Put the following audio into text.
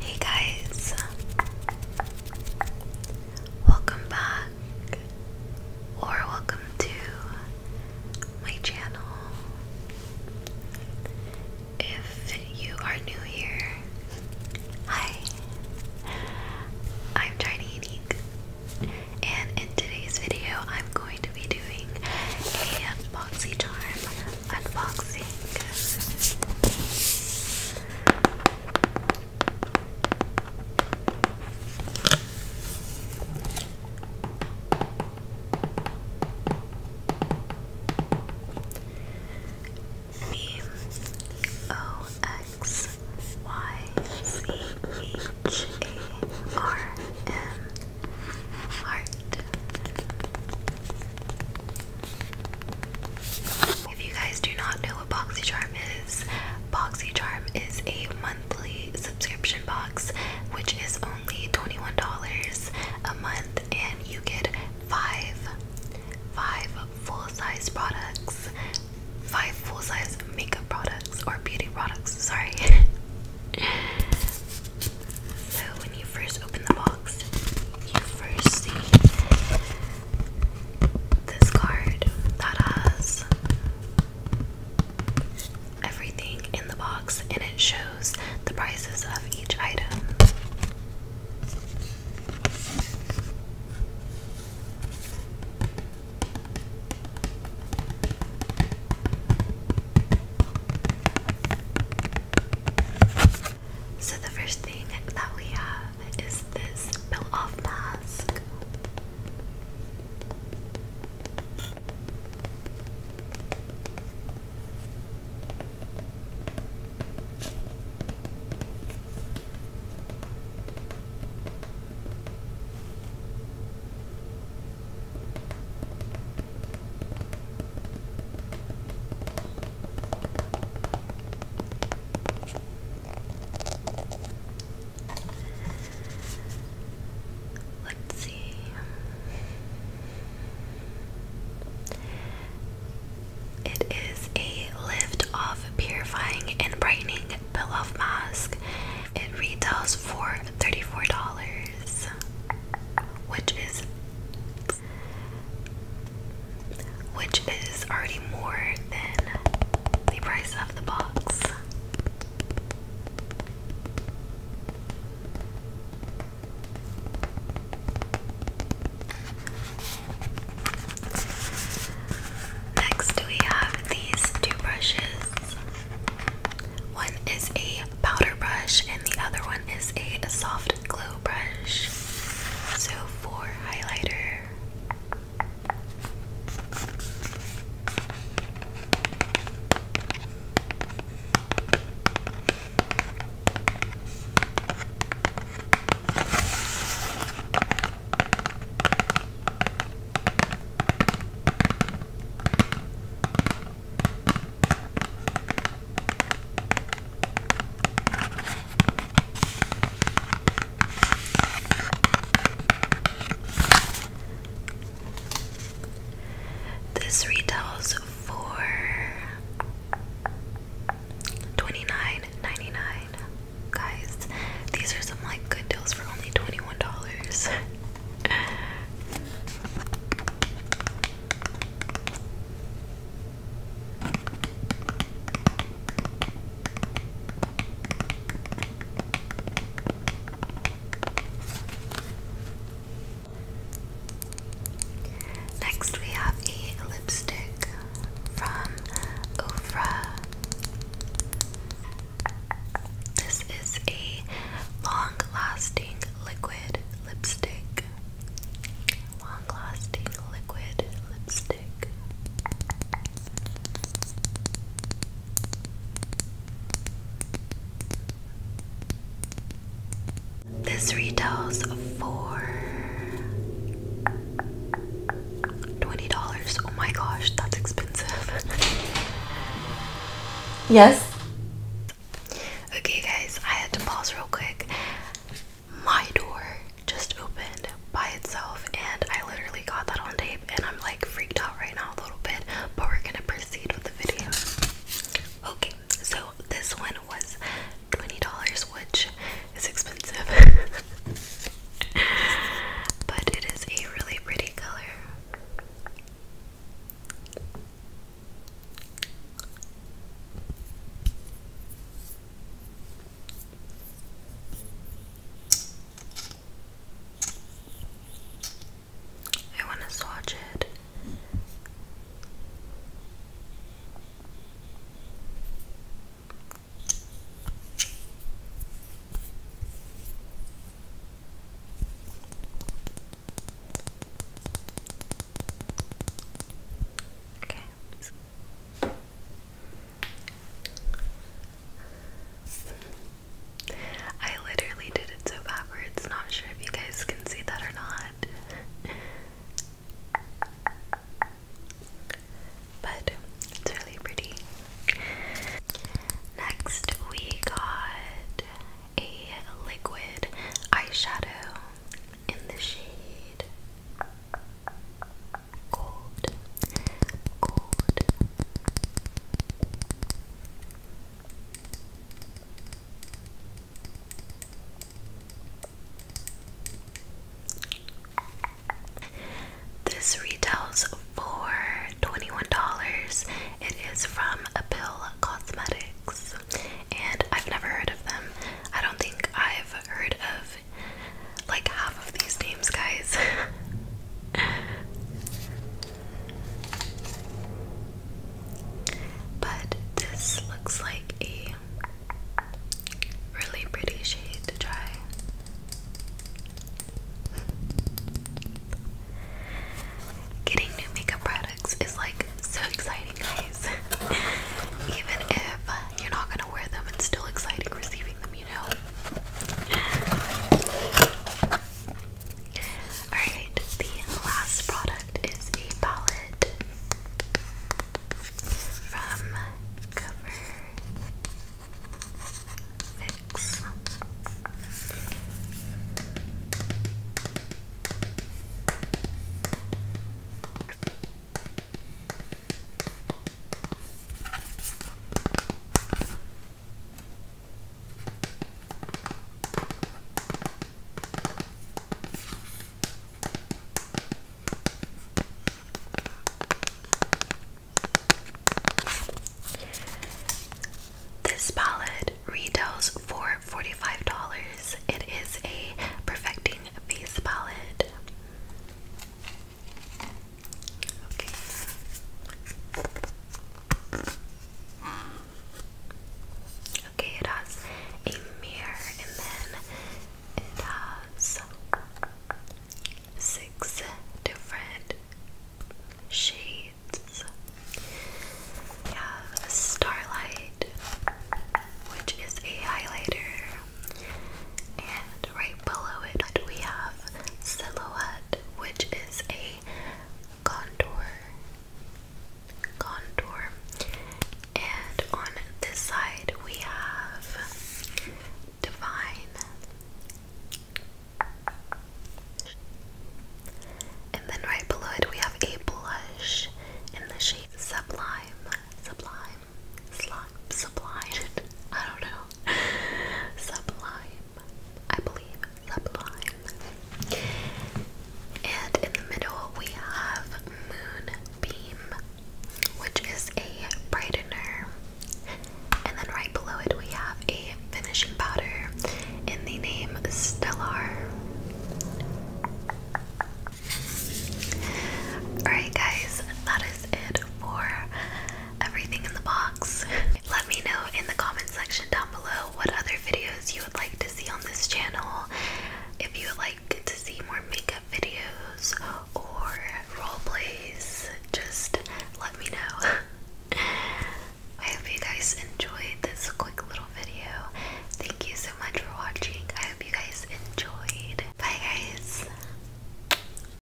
Hey guys, welcome back or welcome to my channel. If you are new here, hi, I'm Tiny and in today's video, I'm going to be doing a boxy charm unboxing. B O X Y C H A R M heart. If you guys do not know what BoxyCharm is, BoxyCharm is a monthly subscription box which is only $21 a month and you get five five full-size products five full-size makeup products or beauty products sorry So when you first open the box, you first see this card that has everything in the box and it shows the prices of each item. So the first thing that we have is this peel-off mask. Let's see. It is a lift off purifying and brightening Pillow Mask. It retails for $34, which is which is already more than the price of the box. Next, we have these two one is a powder brush and the other one is a, soft glow brush. So for highlighter. This retails for twenty nine ninety nine guys. These are some like good deals for only $21. Next, we have a lipstick from Ofra this is a long lasting liquid lipstick. Long lasting liquid lipstick. This retails for $20. Oh my gosh, that's expensive. yes? Okay, guys, I had to pause real quick. My door just opened by itself, and I literally got that on tape, and I'm like freaked out right now a little bit, but we're gonna proceed with the video. Okay, so this one was $20, which is expensive. but it is a really pretty color. I want to swatch it Okay. I literally did it so backwards, not sure if you guys can see that or not. But it's really pretty. Next, we got a liquid eyeshadow in the shade Gold. Gold. This retails for $21. It is from Apil Cosmetics, and I've never heard of them. I don't think I've heard of like half of these names, guys. But this looks like a really pretty shade to try. Getting new makeup products is like so exciting, guys. Even if you're not gonna wear them, it's still exciting receiving them, you know. Alright, the last product is a palette from CoverFix. This palette retails for $45. It is a perfecting face palette. Okay, it has a mirror and then it has six different shades. We have starlight, which is a highlighter, and right below it we have silhouette, which is a contour, contour, and on this side we have divine, and then right below it we have a blush in the shade sublime, sublime, slime, sublime. I don't know, sublime. I believe, sublime. And in the middle, we have Moonbeam, which is a brightener. And then right below it, we have a finishing powder in the name Stellar. Alright, guys, that is it for everything in the box. Let me know in the comment section down below what other videos you would like to see on this channel. If you would like to see more makeup videos or role plays, just let me know. I hope you guys enjoyed this quick little video. Thank you so much for watching. I hope you guys enjoyed. Bye guys.